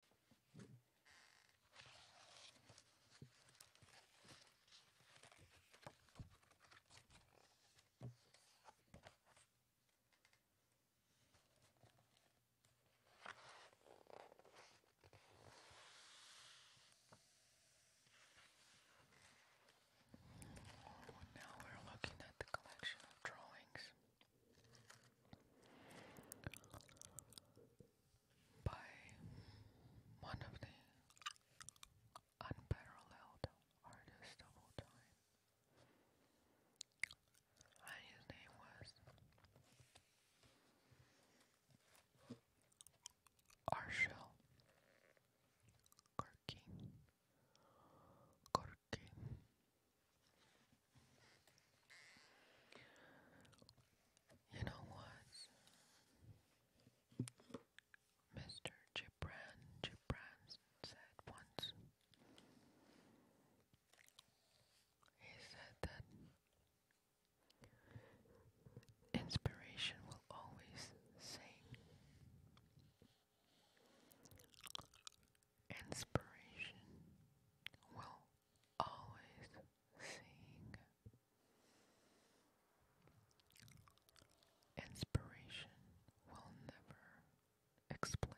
Now we're looking at the collection of drawings by one of the unparalleled artists of all time. And his name was Arshel Gorky. Gorky. You know what? Mr. Gibran Gibran said once. He said that inspiration will always sing. Inspiration will always seeing inspiration will never explain.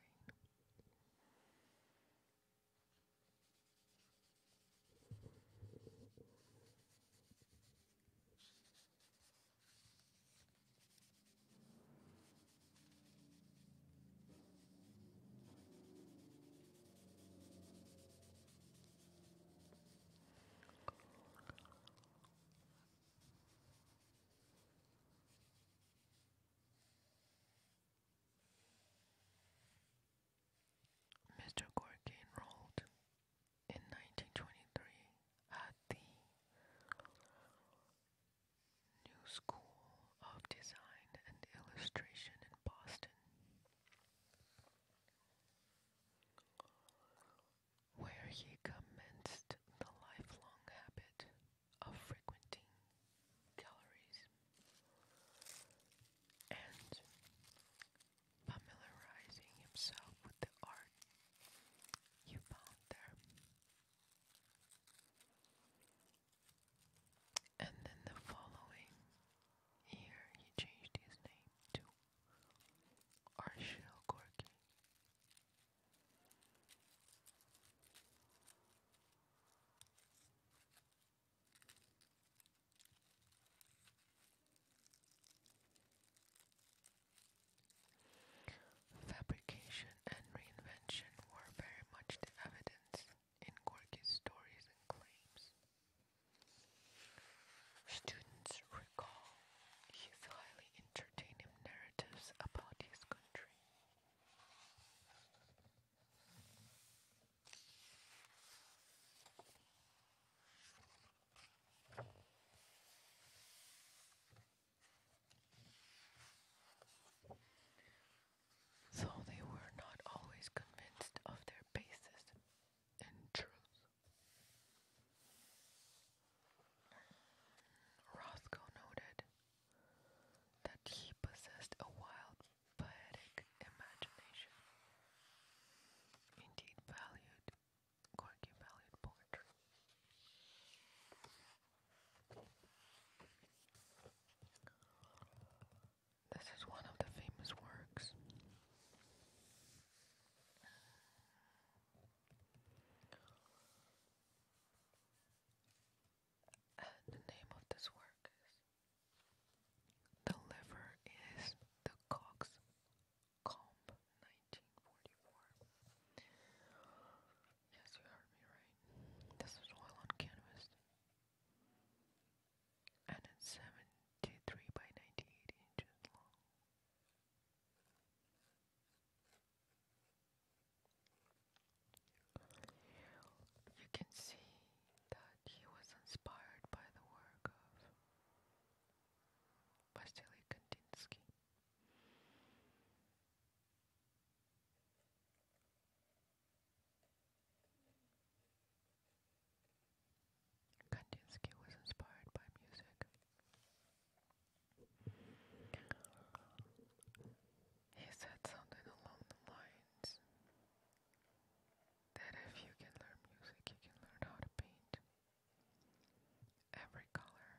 Mr. Gorky enrolled in 1923 at the New School of Design and Illustration in Boston, where he commenced the lifelong habit of frequenting galleries and familiarizing himself with the art he found there. And then the following year, he changed his name to Arshil Gorky. Fabrication and reinvention were very much the evidence in stories and claims. Students recall his highly entertaining narratives about his country so they were not always convinced of their basis and truth. Roscoe noted that he possessed a wild, poetic imagination, indeed valued, Gorky valued poetry. This is one of the famous works. the name of this work is The Liver is the Cox 1944. Yes, you heard me right. This is oil on canvas and it's 73 by 98 inches long. You can see that he was inspired by the work of Vasily Kandinsky. Kandinsky was inspired by music. He said something along the lines that if you can learn music, you can learn how to paint every color.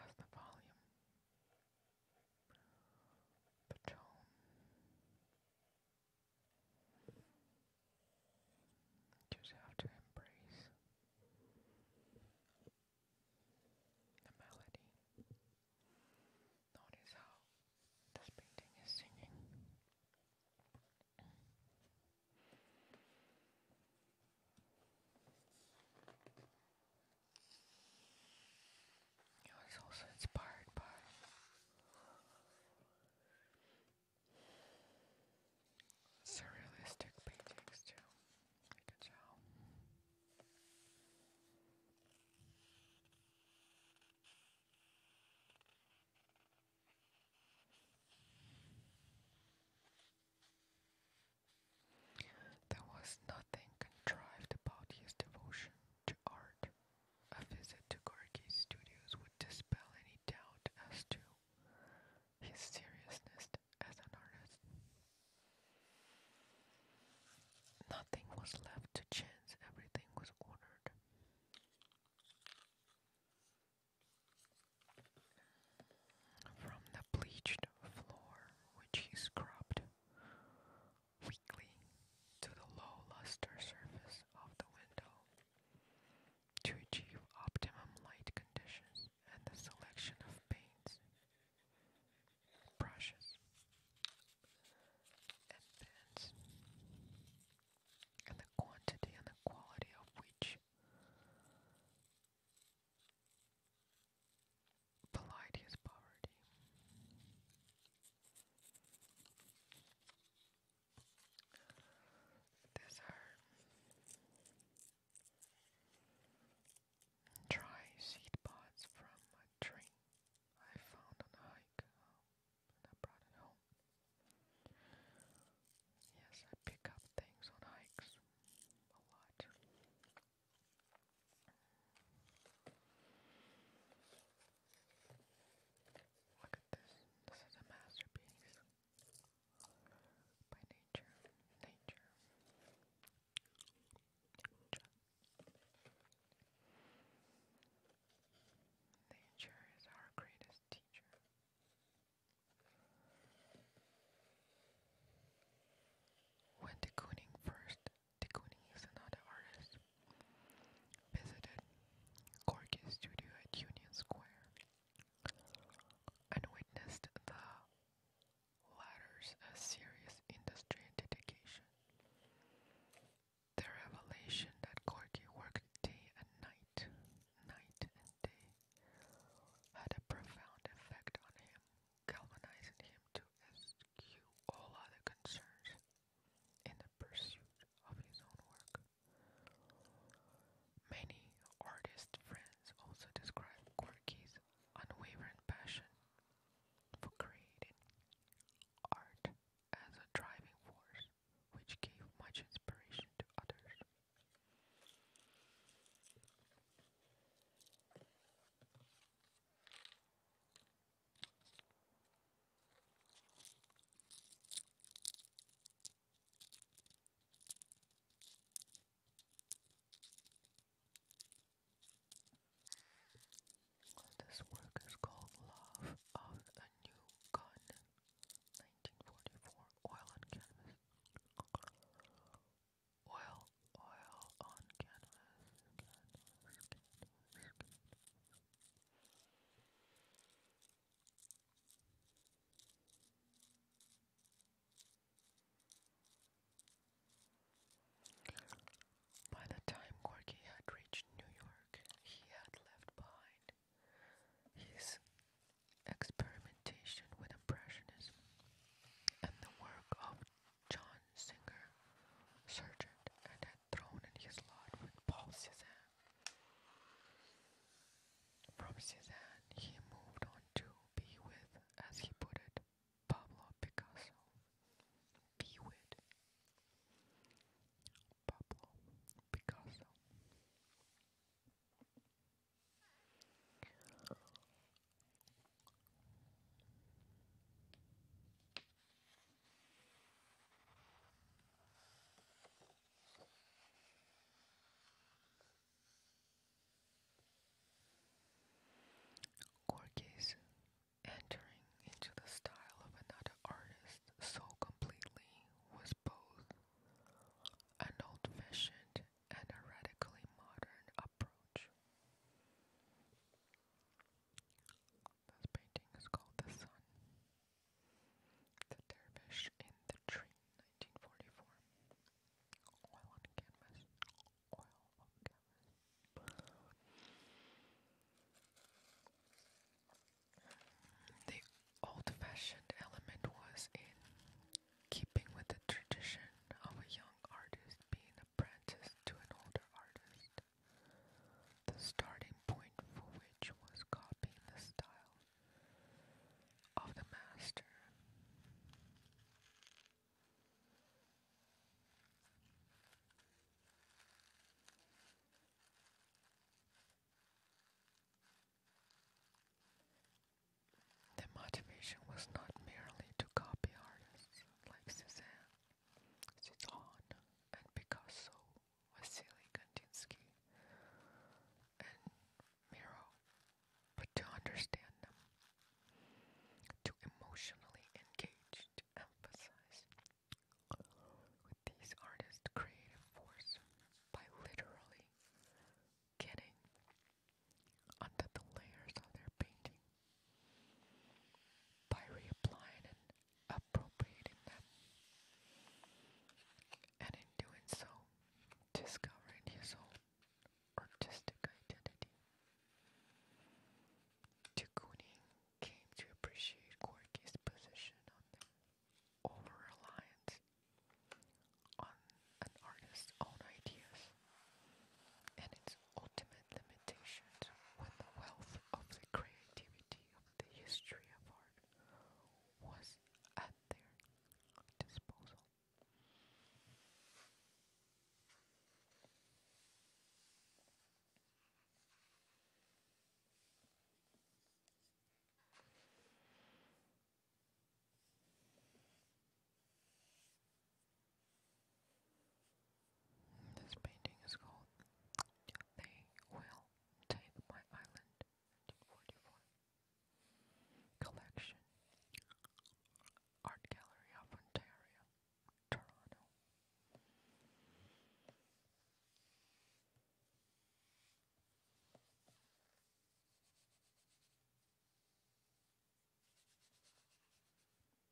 Has the volume Patron. Just have to embrace the melody. Notice how this painting is singing. I was also inspired by surrealistic paintings too. You can tell. There was nothing contrived about his devotion to art. A visit to Gorky's studios would dispel any doubt as to his seriousness as an artist. Nothing was left to chance, everything was ordered. From the bleached floor which he scrubbed weakly to the low luster surface of the window to achieve optimum light conditions and the selection of paints, brushes, and pens, and the quantity and the quality of which belied poverty. These are dry seed pods from a tree I found on a hike um, and I brought it home. Yes, I pick up things on hikes a lot. Look at this. This is a masterpiece by nature. Nature. Nature. is our greatest teacher. When de Kooning first Ticuni is another artist, visited Gorky's studio at Union Square and witnessed the latter's serious industry and dedication. The revelation that Gorky worked day and night, night and day, had a profound effect on him galvanizing him to eschew all other concerns in the pursuit of his own work. Many artist friends also describe Gorky's unwavering passion for creating art as a driving force which gave much inspiration to others. This work is called Love of a New Gun, 1944, oil and canvas. Oil, oil on canvas, By the time Gorky had reached New York, he had left behind his experimentation with Impressionism and the work of John Singer Sargent and had thrown in his lot with Paul Cézanne. From Cézanne, he moved on to be with, as he put it, Pablo Picasso. Be with Pablo Picasso. Cork is entering into the style of another artist so completely was both an old-fashioned and a radically modern approach. This painting is called The Sun, The Dervish in the Tree, 1944. Oil on canvas. The old fashioned element was in keeping with the tradition of a young artist being apprenticed to an older artist, the starting point for which was copying the style of the master. The motivation was not merely to copy artists like Cezanne, Zidane and Picasso, Vasily Kandinsky and Miro, but to understand them, to emotionally engage, to with these artists' creative force by literally getting under the layers of their painting by reapplying and appropriating them, and in doing so, discovering his own artistic identity. de came to appreciate Gorky's position on the on an artist's own ideas and its ultimate limitations when the wealth of the creativity of the history of art was at their disposal. This painting is called They Will Take My Island Collection Art Gallery of Ontario, Toronto.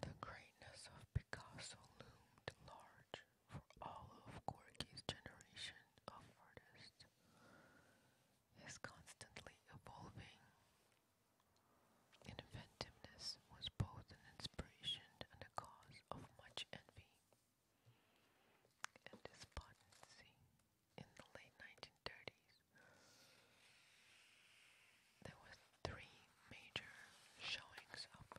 The greatness of Picasso loomed large for all of Gorky's generation of artists. His constantly evolving inventiveness was both an inspiration and a cause of much envy. And his potency in the late 1930s. There were three major showings up.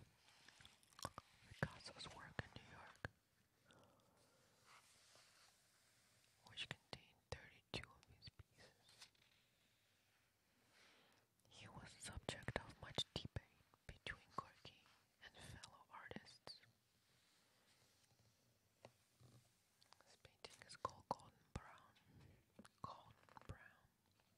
Picasso's work in New York, which contained 32 of his pieces. He was the subject of much debate between Gorky and fellow artists. This painting is called Golden Brown. Golden Brown.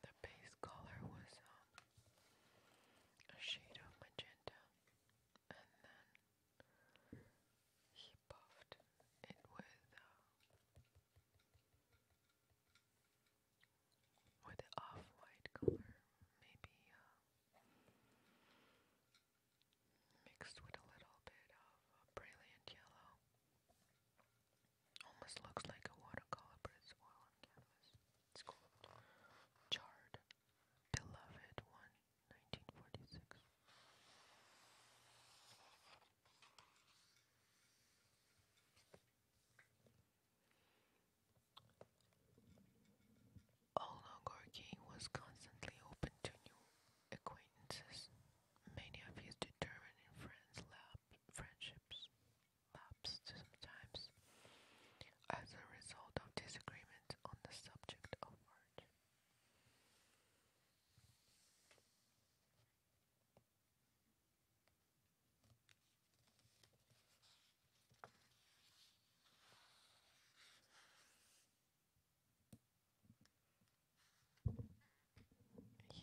The base color was um, a shade of magenta, and then he buffed it with uh, with the off-white color, maybe uh, mixed with a little bit of a uh, brilliant yellow. Almost looks like a watercolor, but it's oil on canvas. It's called Charred Beloved One, 1946. Ologorki was constantly open to new acquaintances. Many of his determined friends friendships lapsed sometimes as a result of disagreements on the subject of art.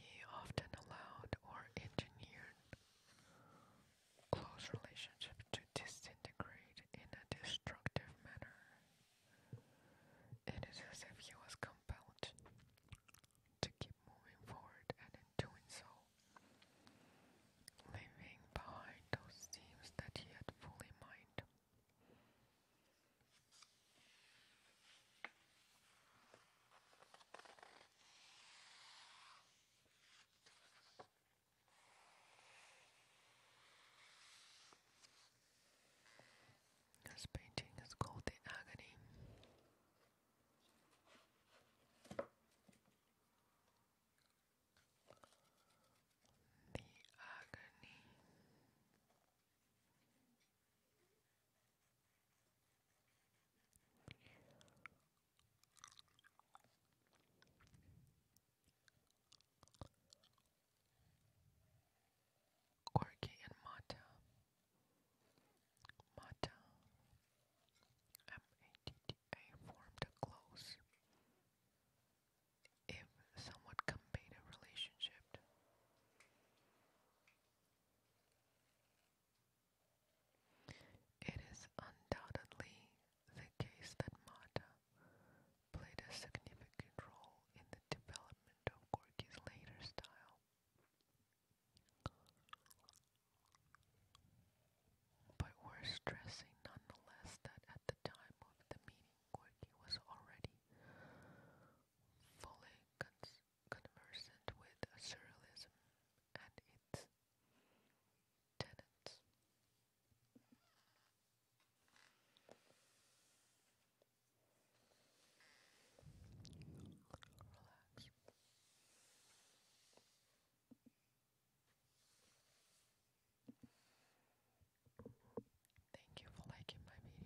He often allowed or engineered close relationships to disintegrate in a destructive manner. It is as if he was compelled to keep moving forward and in doing so, leaving behind those themes that he had fully mined. This painting is called The Agony. The agony. Corky and Mata Mata M-A-T-T-A formed a close, if somewhat combative relationship. It is undoubtedly the case that Mata played a significant role in the development of Gorky's later style. But worth stressing nonetheless that at the time of the meeting, Gorky was already fully conversant with surrealism and its tenets. Relax. Thank you for liking my video.